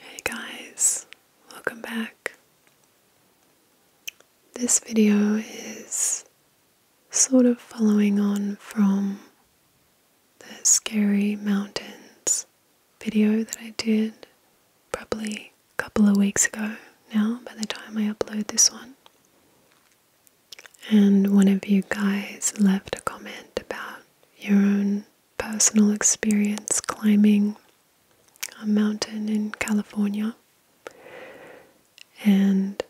Hey guys, welcome back. This video is sort of following on from the Scary Mountains video that I did probably a couple of weeks ago now by the time I upload this one. And one of you guys left a comment about your own personal experience climbing a mountain in California. And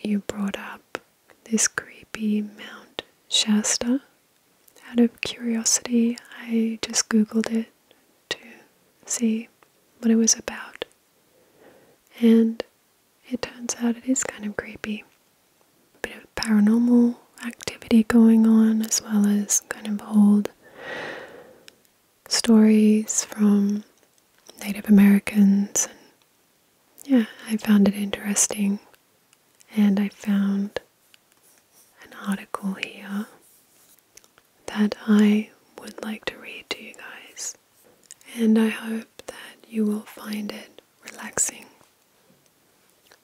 you brought up this creepy Mount Shasta. Out of curiosity, I just googled it to see what it was about. And it turns out it is kind of creepy. A bit of paranormal activity going on, as well as kind of old stories from Native Americans. And yeah, I found it interesting. And I found an article here that I would like to read to you guys. And I hope that you will find it relaxing.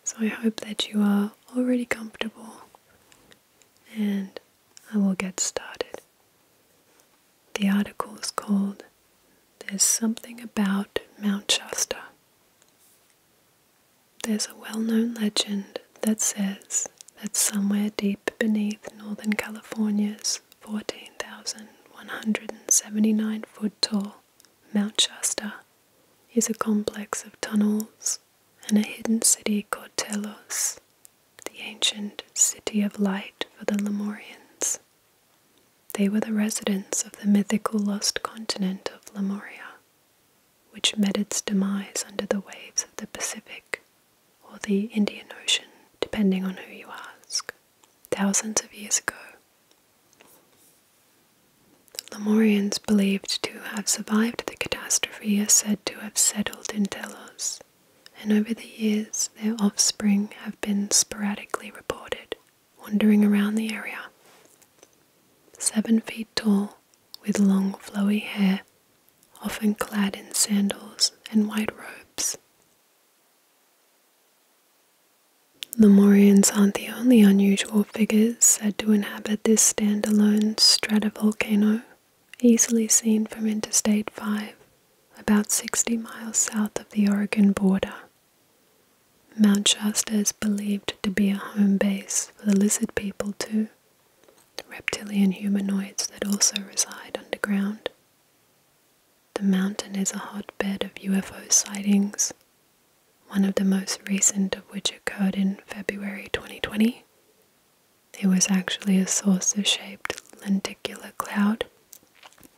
So I hope that you are already comfortable and I will get started. The article is called There's Something About Mount Shasta. There's a well known legend that says that somewhere deep beneath Northern California's 14,179 foot tall Mount Shasta is a complex of tunnels and a hidden city called Telos, the ancient city of light for the Lemurians. They were the residents of the mythical lost continent of Lemuria, which met its demise under the waves of the Pacific or the Indian Ocean, depending on who you ask thousands of years ago. Lemurians believed to have survived the catastrophe are said to have settled in Telos, and over the years their offspring have been sporadically reported, wandering around the area. Seven feet tall, with long flowy hair, often clad in sandals and white robes, the Morians aren't the only unusual figures said to inhabit this standalone stratovolcano, easily seen from Interstate 5, about 60 miles south of the Oregon border. Mount Shasta is believed to be a home base for the lizard people too, reptilian humanoids that also reside underground. The mountain is a hotbed of UFO sightings, one of the most recent of which occurred in February 2020. It was actually a saucer shaped lenticular cloud.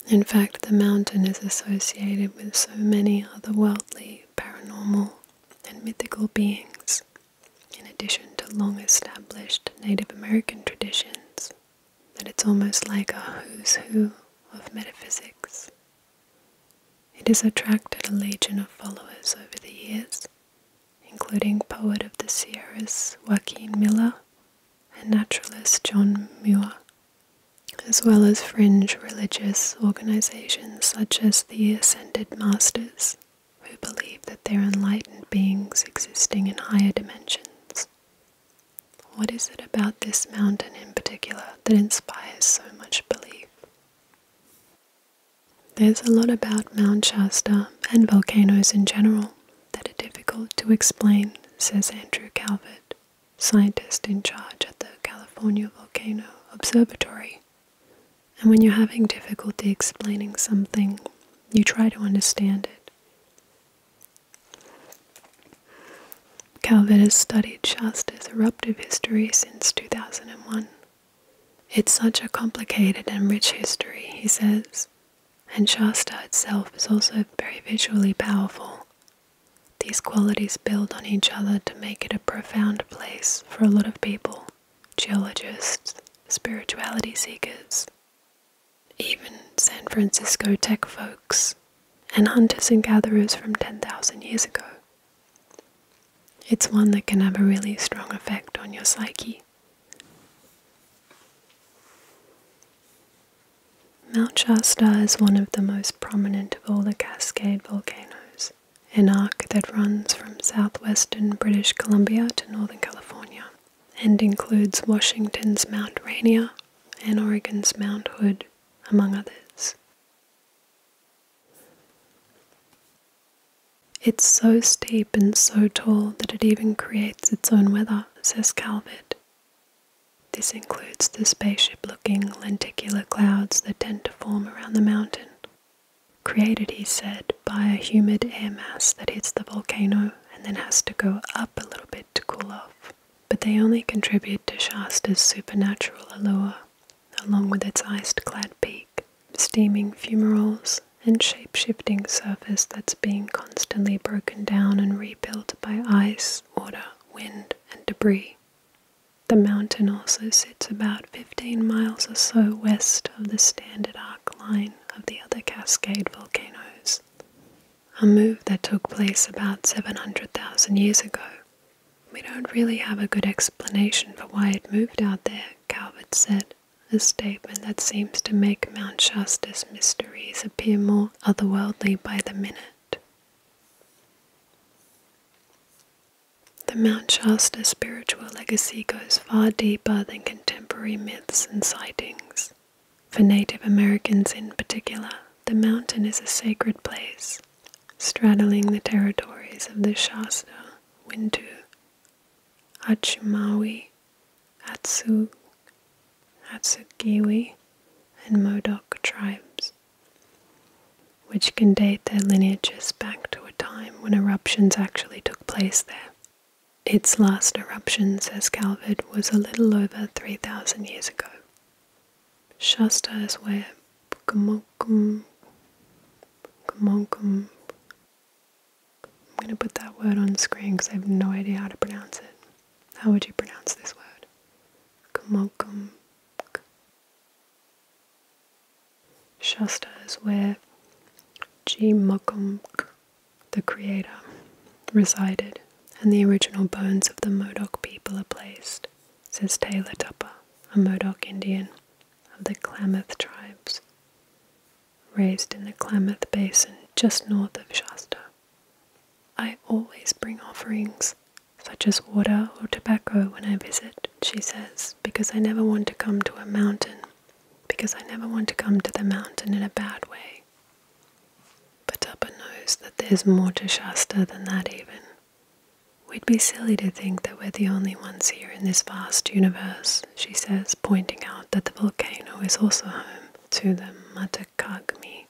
In fact, the mountain is associated with so many other worldly, paranormal, and mythical beings, in addition to long established Native American traditions that it's almost like a who's who of metaphysics. It has attracted a legion of followers over the years, including poet of the Sierras Joaquin Miller and naturalist John Muir, as well as fringe religious organizations such as the Ascended Masters, who believe that they're enlightened beings existing in higher dimensions what is it about this mountain in particular that inspires so much belief? There's a lot about Mount Shasta and volcanoes in general that are difficult to explain, says Andrew Calvert, scientist in charge at the California Volcano Observatory. And when you're having difficulty explaining something, you try to understand it. Calvert has studied Shasta's eruptive history since 2001. It's such a complicated and rich history, he says, and Shasta itself is also very visually powerful. These qualities build on each other to make it a profound place for a lot of people geologists, spirituality seekers, even San Francisco tech folks and hunters and gatherers from 10,000 years ago. It's one that can have a really strong effect on your psyche. Mount Shasta is one of the most prominent of all the Cascade volcanoes, an arc that runs from southwestern British Columbia to northern California and includes Washington's Mount Rainier, and Oregon's Mount Hood, among others. It's so steep and so tall that it even creates its own weather, says Calvert. This includes the spaceship looking lenticular clouds that tend to form around the mountain, created, he said, by a humid air mass that hits the volcano and then has to go up a little bit to cool off but they only contribute to Shasta's supernatural allure, along with its ice clad peak, steaming fumaroles, and shape-shifting surface that's being constantly broken down and rebuilt by ice, water, wind, and debris. The mountain also sits about 15 miles or so west of the standard arc line of the other Cascade volcanoes, a move that took place about 700,000 years ago. We don't really have a good explanation for why it moved out there, Calvert said, a statement that seems to make Mount Shasta's mysteries appear more otherworldly by the minute. The Mount Shasta spiritual legacy goes far deeper than contemporary myths and sightings. For Native Americans in particular, the mountain is a sacred place, straddling the territories of the Shasta, Wintu, Achumawi, Atsu, Atsugiwi, and Modoc tribes, which can date their lineages back to a time when eruptions actually took place there. Its last eruption, says Calvert, was a little over 3,000 years Shasta is where Pukmonkum. Pukmonkum. I'm going to put that word on screen because I have no idea how to pronounce it. How would you pronounce this word? Kumokum. Shasta is where Gmokumk the creator, resided, and the original bones of the Modoc people are placed, says Taylor Tupper, a Modoc Indian of the Klamath tribes, raised in the Klamath Basin just north of Shasta. I always bring offerings, such as water or tobacco, when I visit, she says, because I never want to come to a mountain, because I never want to come to the mountain in a bad way. But Upper knows that there's more to Shasta than that, even. We'd be silly to think that we're the only ones here in this vast universe, she says, pointing out that the volcano is also home to the Matacagmi,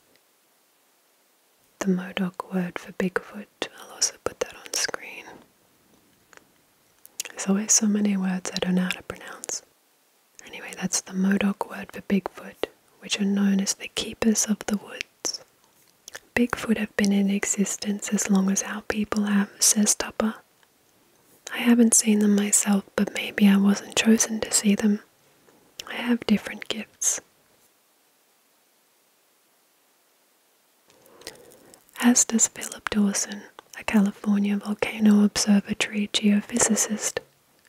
The Modoc word for Bigfoot, I'll also put that on screen. There's always so many words I don't know how to pronounce. Anyway, that's the Modoc word for Bigfoot, which are known as the keepers of the woods. Bigfoot have been in existence as long as our people have, says Tupper. I haven't seen them myself, but maybe I wasn't chosen to see them. I have different gifts. As does Philip Dawson, a California Volcano Observatory geophysicist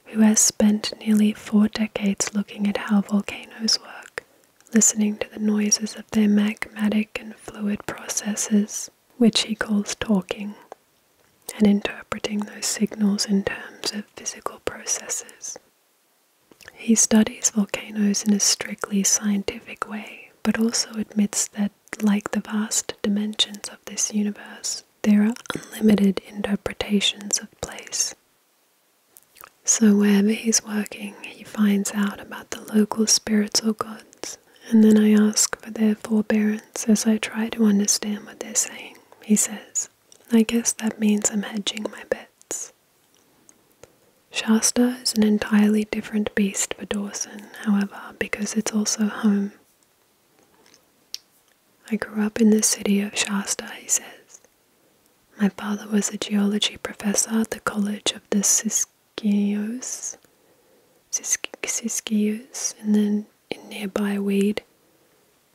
who has spent nearly four decades looking at how volcanoes work, listening to the noises of their magmatic and fluid processes, which he calls talking, and interpreting those signals in terms of physical processes. He studies volcanoes in a strictly scientific way, but also admits that, like the vast dimensions of this universe, there are unlimited interpretations of place. So, wherever he's working, he finds out about the local spirits or gods, and then I ask for their forbearance as I try to understand what they're saying. He says, I guess that means I'm hedging my bets. Shasta is an entirely different beast for Dawson, however, because it's also home I grew up in the city of Shasta, he says. My father was a geology professor at the College of the Siskiyous, Siskiyous in, the, in nearby Weed,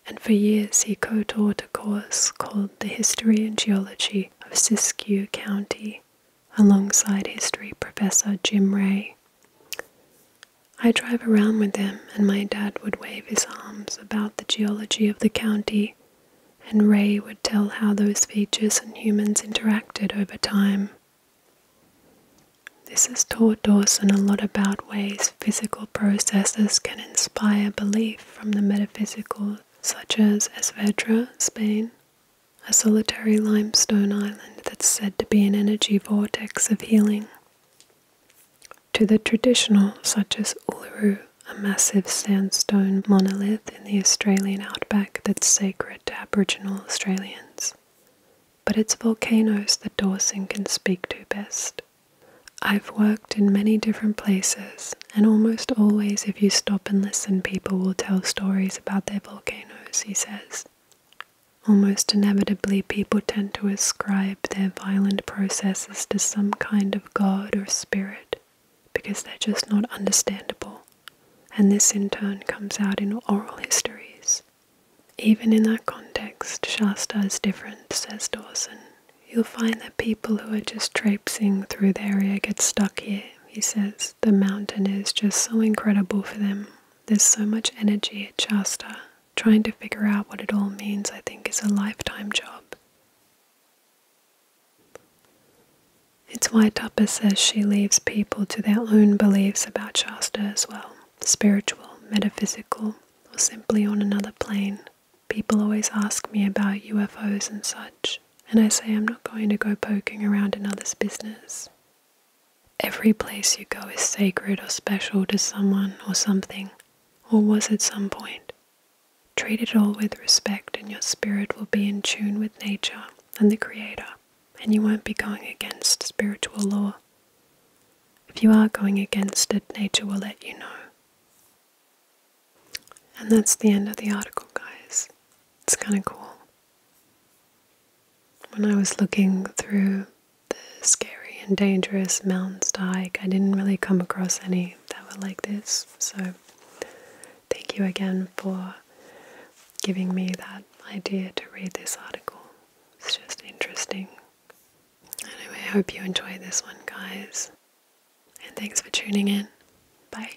and for years he co taught a course called The History and Geology of Siskiyou County alongside history professor Jim Ray. I drive around with him, and my dad would wave his arms about the geology of the county, and Ray would tell how those features and humans interacted over time. This has taught Dawson a lot about ways physical processes can inspire belief from the metaphysical, such as Esvedra, Spain, a solitary limestone island that's said to be an energy vortex of healing to the traditional, such as Uluru, a massive sandstone monolith in the Australian outback that's sacred to Aboriginal Australians. But it's volcanoes that Dawson can speak to best. I've worked in many different places, and almost always, if you stop and listen, people will tell stories about their volcanoes, he says. Almost inevitably, people tend to ascribe their violent processes to some kind of god or spirit because they're just not understandable, and this in turn comes out in oral histories. Even in that context, Shasta is different, says Dawson. You'll find that people who are just traipsing through the area get stuck here, he says. The mountain is just so incredible for them. There's so much energy at Shasta, trying to figure out what it all means, I think, is a lifetime job. It's why Tupper says she leaves people to their own beliefs about Shasta as well spiritual, metaphysical, or simply on another plane. People always ask me about UFOs and such, and I say I'm not going to go poking around in others' business. Every place you go is sacred or special to someone or something, or was at some point. Treat it all with respect, and your spirit will be in tune with nature and the Creator, and you won't be going against spiritual law. If you are going against it, nature will let you know. And that's the end of the article, guys. It's kind of cool when I was looking through the scary and dangerous mountain stike, I didn't really come across any that were like this. So, thank you again for giving me that idea to read this article. It's just interesting. Anyway, I hope you enjoy this one, guys. And thanks for tuning in. Bye.